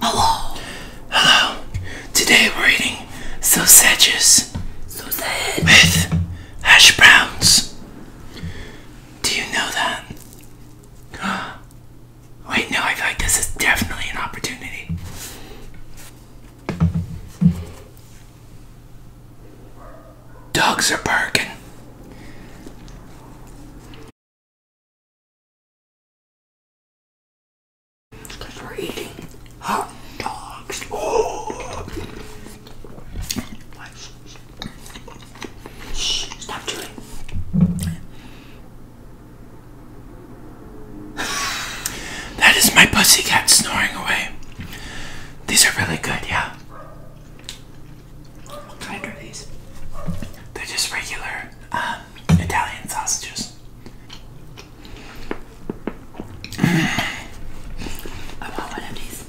Hello. Hello. Today we're eating sausages. Sausage. With hash browns. Do you know that? Wait, no, I feel like this is definitely an opportunity. Dogs are barking. Because we're eating hot dogs. Shh, stop doing That is my pussy cat snoring away. These are really good, yeah. What kind are these? They're just regular um, uh, Italian sausages. I want one of these.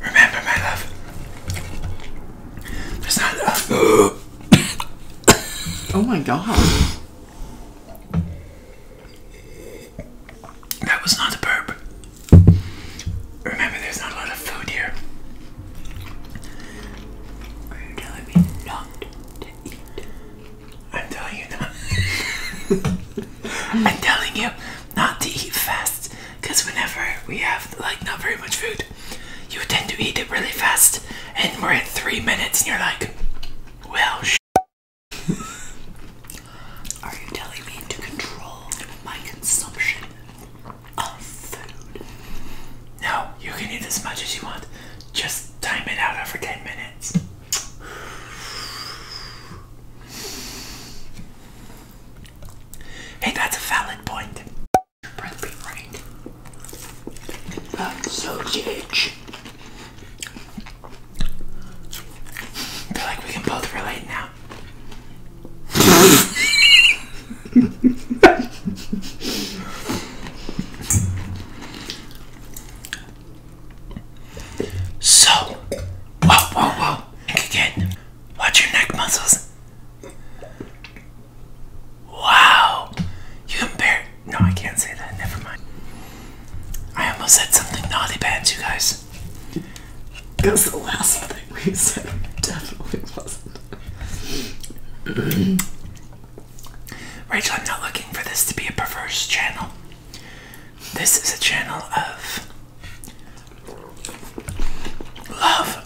Remember, my love, there's not enough. oh my god. That was not a burp. Remember, there's not a lot of food here. Are you telling me not to eat? I'm telling you not. I'm telling you not to eat fast because whenever we have like not very much food, you tend to eat it really fast, and we're at three minutes, and you're like, well, are you telling me to control my consumption of food? No, you can eat as much as you want. Just time it out over 10 minutes. Hey, that's a valid point. so huge. I feel like we can both relate now so, whoa, whoa, whoa, again, watch your neck muscles. Wow, you embarrassed. No, I can't say that. Never mind. I almost said something naughty bad, you guys. Yes. Because the last thing we said definitely wasn't. Rachel, I'm not looking for this to be a perverse channel. This is a channel of love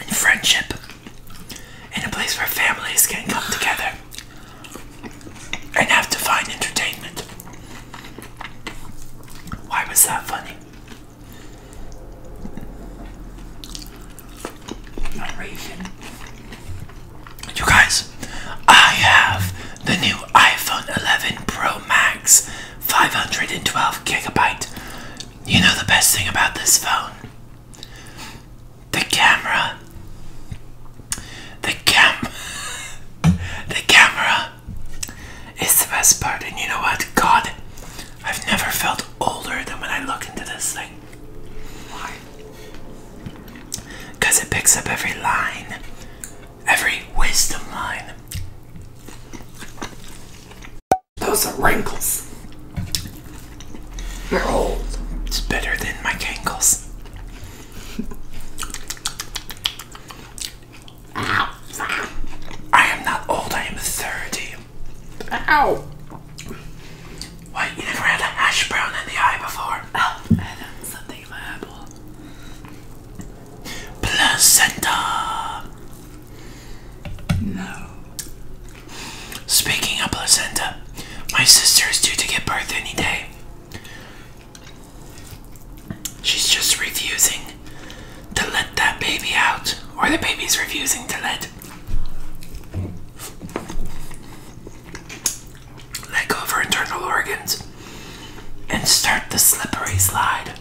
and friendship and a place where families can come together and have to find entertainment. Why was that funny? You guys, I have the new iPhone 11 Pro Max 512 gigabyte. You know the best thing about this phone? The camera the cam the camera is the best part and you know what god I've never felt older than when I look into this thing why because it picks up every line every wisdom line those are wrinkles they're old it's better than my wrinkles. I am not old, I am 30. Ow! you never had a hash brown in the eye before? Oh, I had something in my eyeball. Placenta! No. Speaking of placenta, my sister is due to give birth any day. She's just refusing to let that baby out, or the baby's refusing to let let go of her internal organs and start the slippery slide.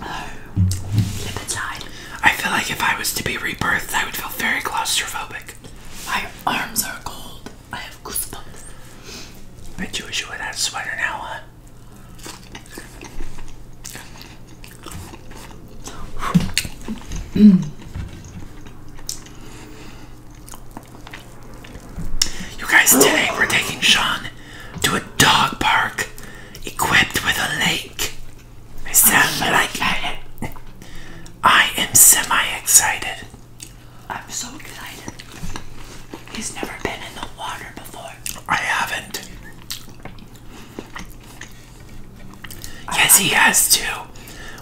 Oh, I feel like if I was to be rebirthed, I would feel very claustrophobic. My arms are cold. I have goosebumps. Bet you wish you were that sweater now, huh? Mm. You guys, today we're taking Sean to a dog park equipped with a lake. Sound oh, like excited. I am semi-excited. I'm so excited. He's never been in the water before. I haven't. yes, he has too.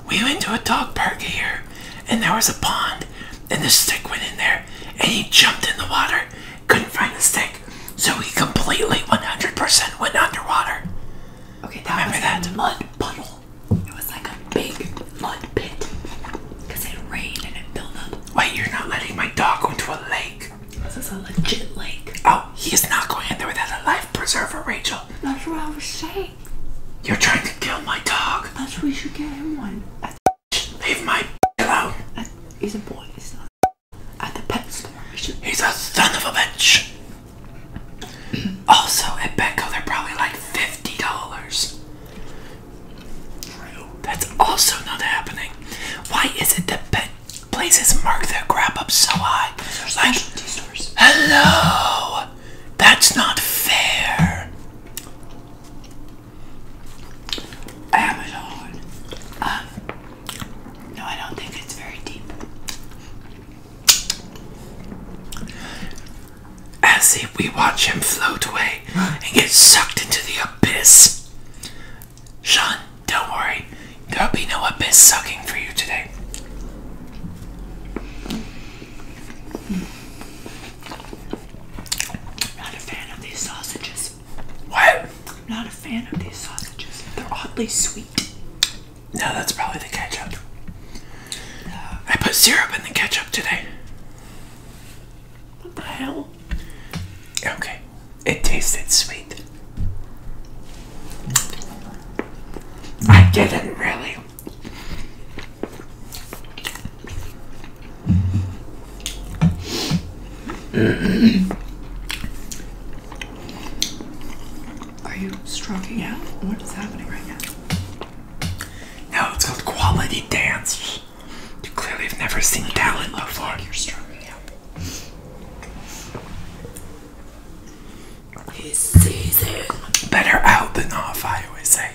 We went to a dog park here, and there was a pond, and the stick went in there, and he jumped in the water, couldn't find the stick, so he completely 100% went underwater. Okay, that Remember was that? a mud puddle. It was like a big mud pit because it rained and it built up. Wait, you're not letting my dog go into a lake. This is a legit lake. Oh, he is not going in there without a life preserver, Rachel. That's what I was saying. You're trying to kill my dog. That's what we should get him one. Leave my alone. He's a boy at the pet store. He's a son of a bitch. also, at Petco, they're probably like $50. True. That's also not happening. Why is it that pet places mark their grab up so high? stores. hello! That's not fair. Amazon. Um, no, I don't think it's very deep. As if we watch him float away and get sucked into the abyss. Sean, don't worry. There'll be no abyss sucking for you today. Not a fan of these sausages. What? I'm not a fan of these sausages. They're oddly sweet. No, that's probably the ketchup. Uh, I put syrup in the ketchup today. What the hell? Okay, it tasted sweet. I didn't really. Are you stroking out? What is happening right now? No, it's called quality dance. You clearly have never seen it talent oh, before. Like you're stroking out. He's seasoned. Better out than off, I always say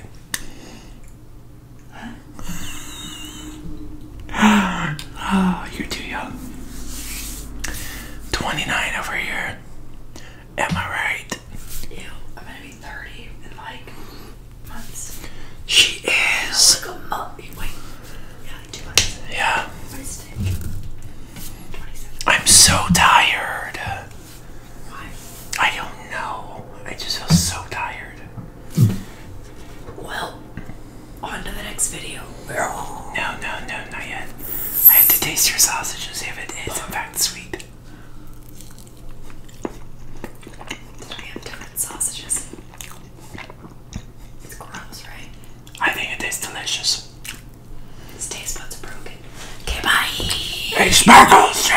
oh, you're too young. 29 over here. Am I right? Ew, I'm gonna be 30 in like months. She is. Oh, oh, wait. Yeah, two months. Yeah. I'm so tired. Why? I don't know. I just feel so tired. Well, on to the next video. No, no, no, not yet. I have to taste your sausage and see if it is in fact sweet. I have different sausages. It's gross, right? I think it tastes delicious. This taste buds are broken. Okay, bye! Hey, Sparkles!